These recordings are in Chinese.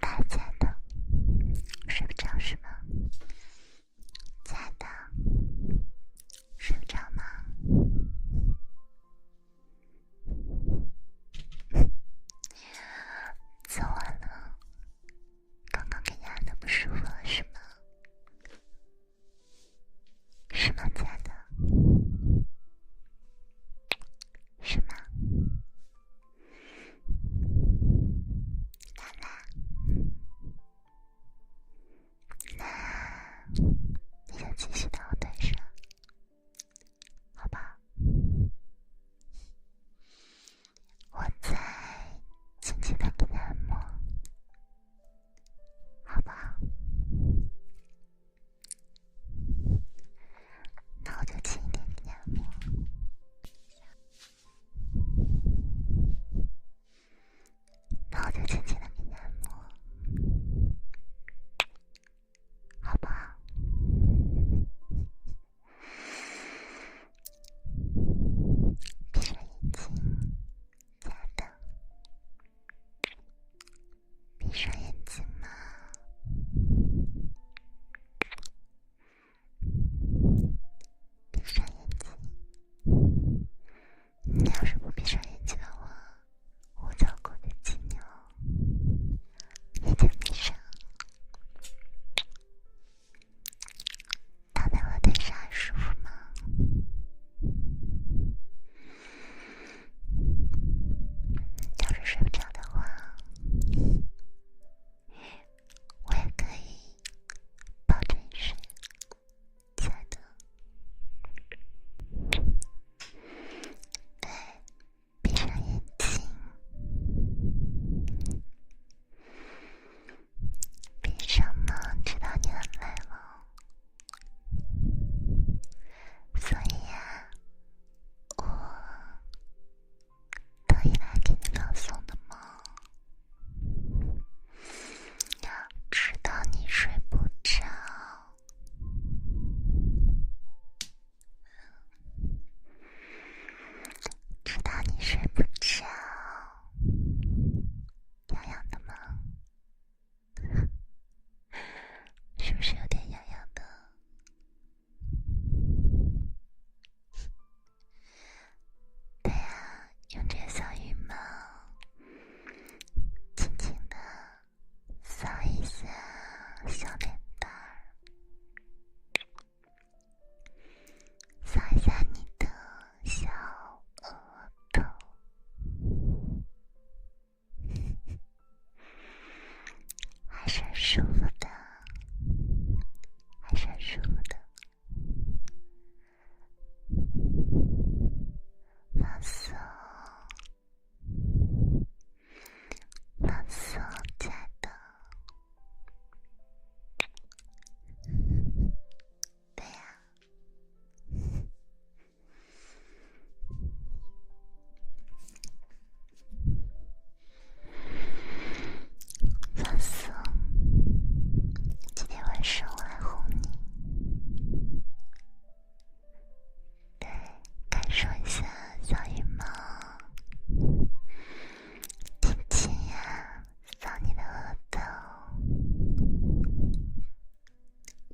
大家的，睡不着是吗？亲爱的，睡不着吗？做完了，刚刚给压的不舒服了是吗？是吗？亲爱的，是吗？啦啦，那，你就继续让我对上，好吧？我在轻轻的给你按摩，好不好？那我就轻轻地按摩，那我就轻轻地按摩，好吧？闭上眼睛，加灯。闭上眼睛吗？闭上眼睛。你要是不闭上眼睛的话，我就要控制你了。闭上，躺在我的上舒服吗？要是睡不着的话，我也可以抱着你睡。亲爱的，闭上眼睛，闭上呢，知道你很累了，所以呀。我特意来给你朗诵的吗？知道你睡不着，知道你睡不着，痒痒的吗？是不是有点痒痒的？对啊，用这小羽毛，轻轻的扫一下小脸蛋儿，扫一下你的小额头。还是舒服的，还是舒服的，放松，放松，亲爱的，对呀。放松，今天晚上我来哄你。对，感受一下小羽毛，亲亲呀，亲你的额头，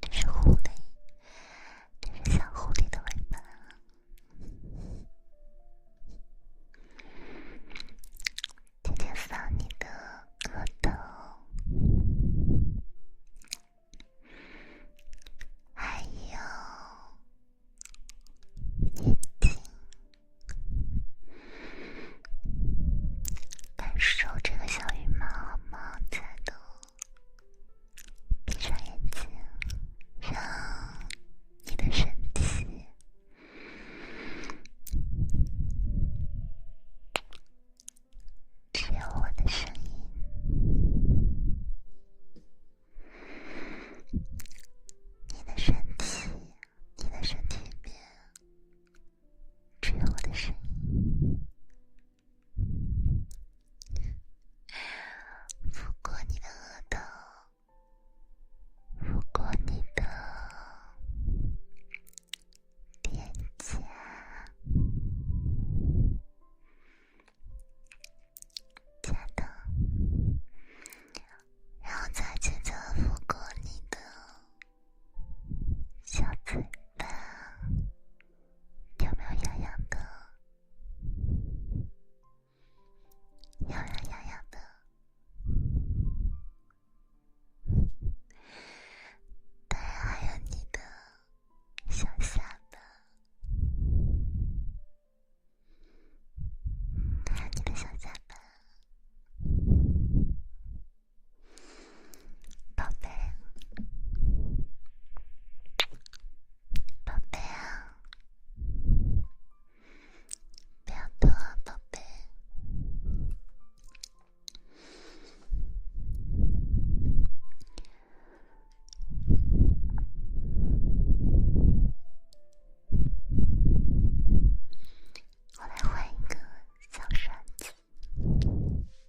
这是哄的。这是小狐狸的尾巴，天天抚你的额头，还有眼睛，感受这个小羽毛帽子的。闭上眼睛，让你的身体只有我的声音。你的身体，你的身体里只有我的声音。拂过你的额头，拂过你的脸颊、下巴，然后再轻轻拂过你的小嘴巴，喵喵痒痒的。痒痒痒痒的，当然还有你的小下巴，还有你的小下巴，宝贝。宝贝，别动，宝贝。我来换一个小刷子。真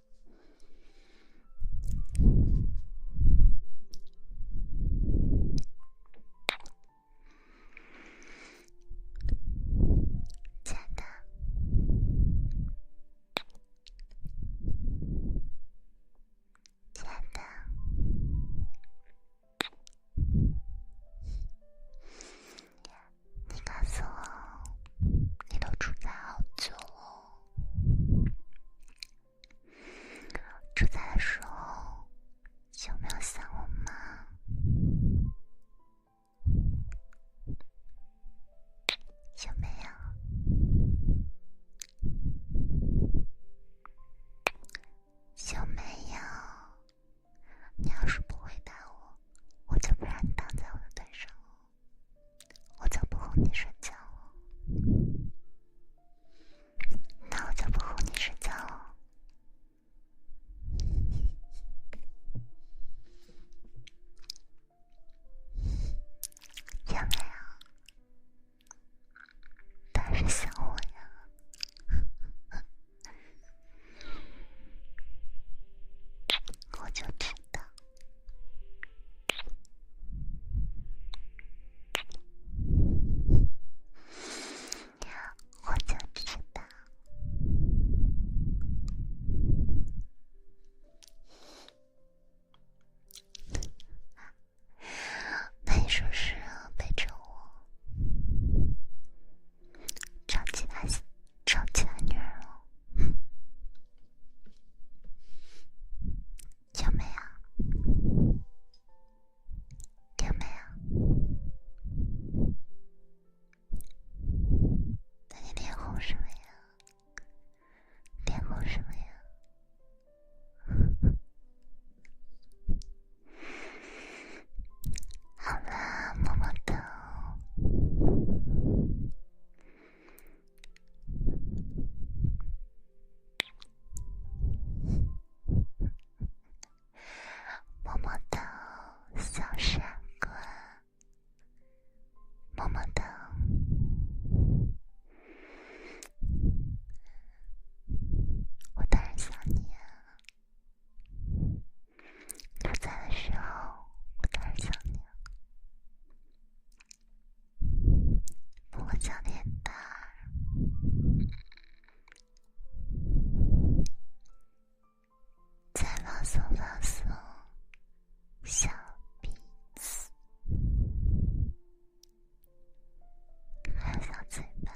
的，真的，你告诉我，你都出差好久出差的时候，有没有想我妈？有没有？有没有？你要是不回答我，我就不让你躺在我的腿上。我就不哄你睡觉了，那我就不哄你睡觉了。有没啊，但是想我呀，我就知道。我就知道，那你说是背着我，超级男，超级男女儿。有没有？有没有？那你脸红什么呀？脸红什么呀？好了，摸摸头。么么哒，小傻瓜。么么哒，我当然想你呀。不在的时候，我当然想你呀。摸左边吧，再放松放松小鼻子，还有小嘴巴，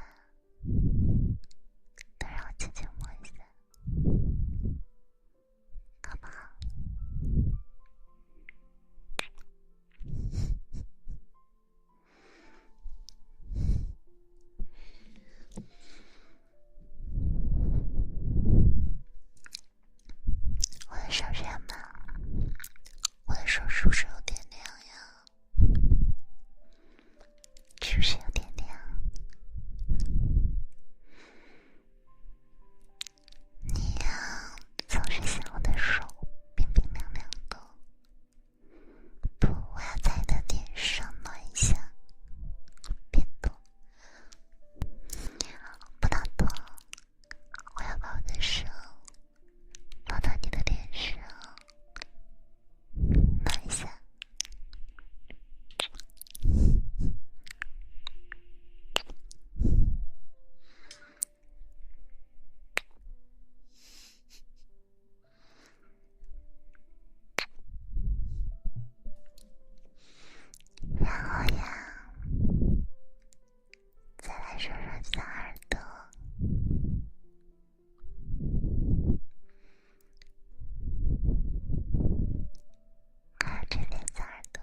都让我姐姐摸一下。干嘛？我的手热吗？我的手是不是有点凉呀？是不是有点凉？你呀，总是嫌我的手冰冰凉凉的，不，我要在你的脸上暖一下，别躲，不能躲，我要把我的手放到你的脸上暖一下。然后呀，再来揉揉小耳朵，看有这边小耳朵。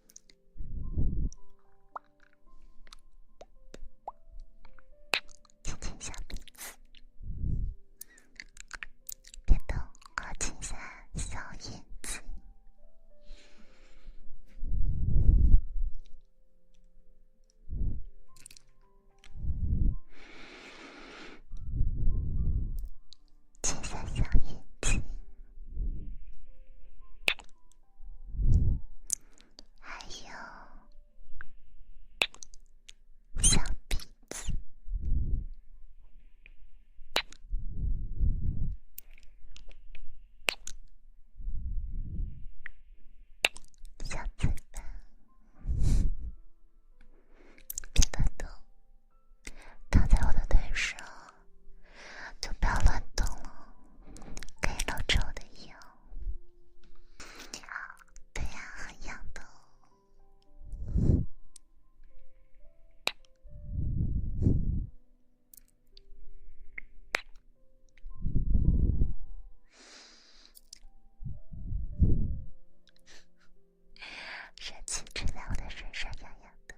亲亲小鼻子，别动，我亲下小眼睛。金色小眼睛，还有小鼻子、小嘴巴，别乱动。躺在我的腿上，就不要乱动了，可以搂着我的腰。对呀，很痒的。热气吹在我的身上，痒痒的，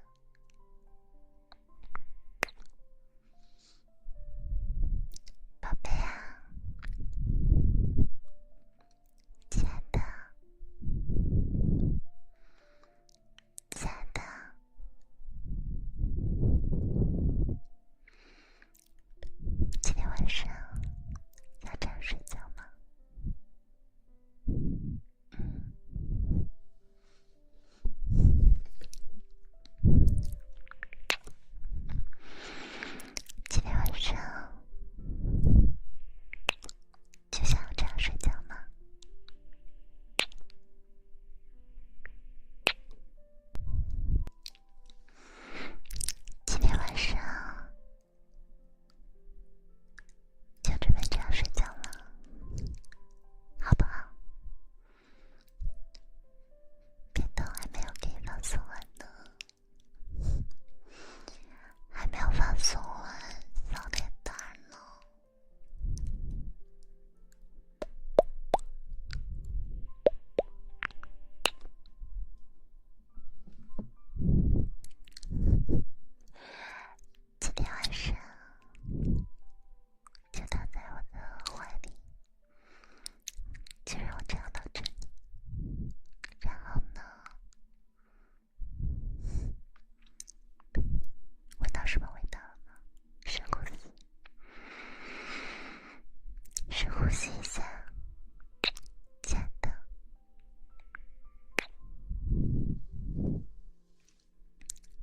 宝贝啊，亲爱的，亲爱的，今天晚上要这样睡觉吗？今天晚上就想这样睡觉吗？今天晚上。就准备这样睡觉了，好不好？别动，还没有给你放松完呢，还没有放松完，小脸蛋呢。今天晚上就躺在我的怀里，就让我这样抱着你。然后呢，闻到什么味道了呢？深呼吸，深呼吸一下，真的。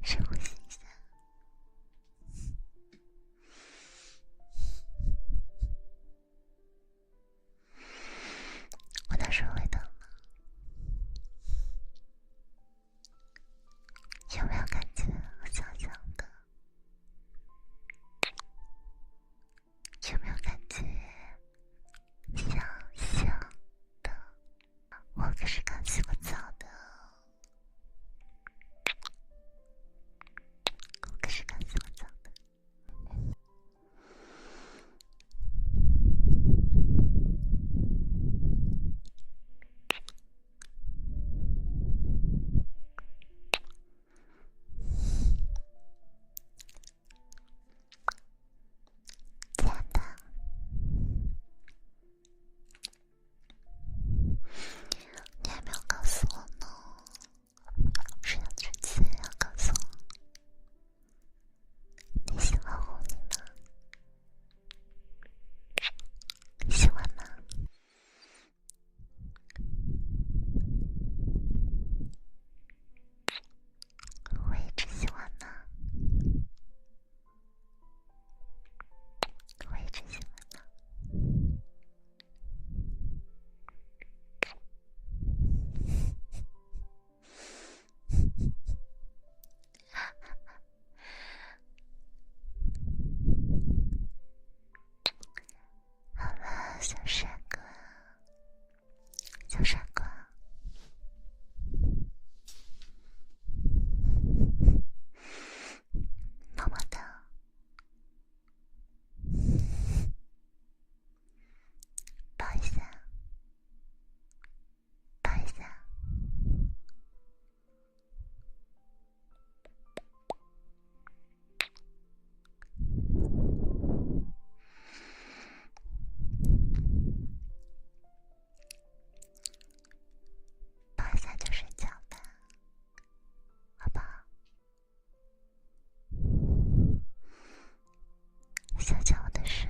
深呼吸一下，我的手会疼吗？有没有感觉我香香的？有没有感觉香香？的，我可是刚洗过澡的，我可是刚洗过澡的。真的？你还没有告诉我呢，是要去亲？要告诉我你喜欢我吗？喜欢吗？我一直喜欢呢，我一直喜欢呢。小帅哥。小帅哥，慢慢的，拜山，拜山。抱一下就睡觉吧，好不吧。小乔的手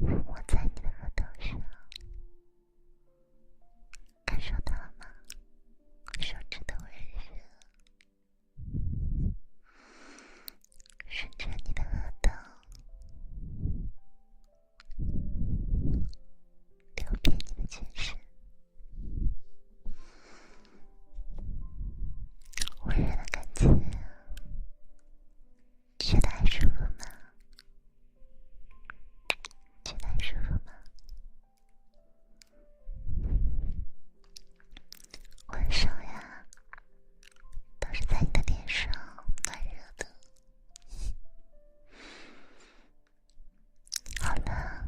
抚摸在你的额头上，感受到了吗？手指的温度。顺着你的额头，流遍你的全身，温热的感觉，觉得还舒服吗？觉得还舒服吗？晚上呀，都是在你的脸上暖热的。好了，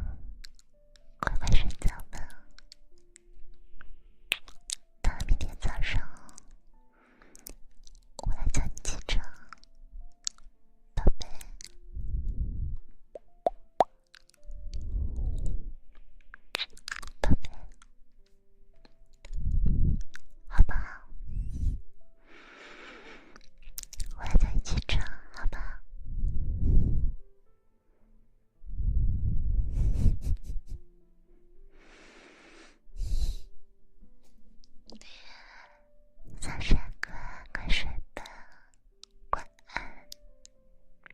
乖乖睡觉吧。到了明天早上，我来叫你起床，宝贝。宝贝，好吧，我也等你起床，好吧。小哥，快睡吧，晚安。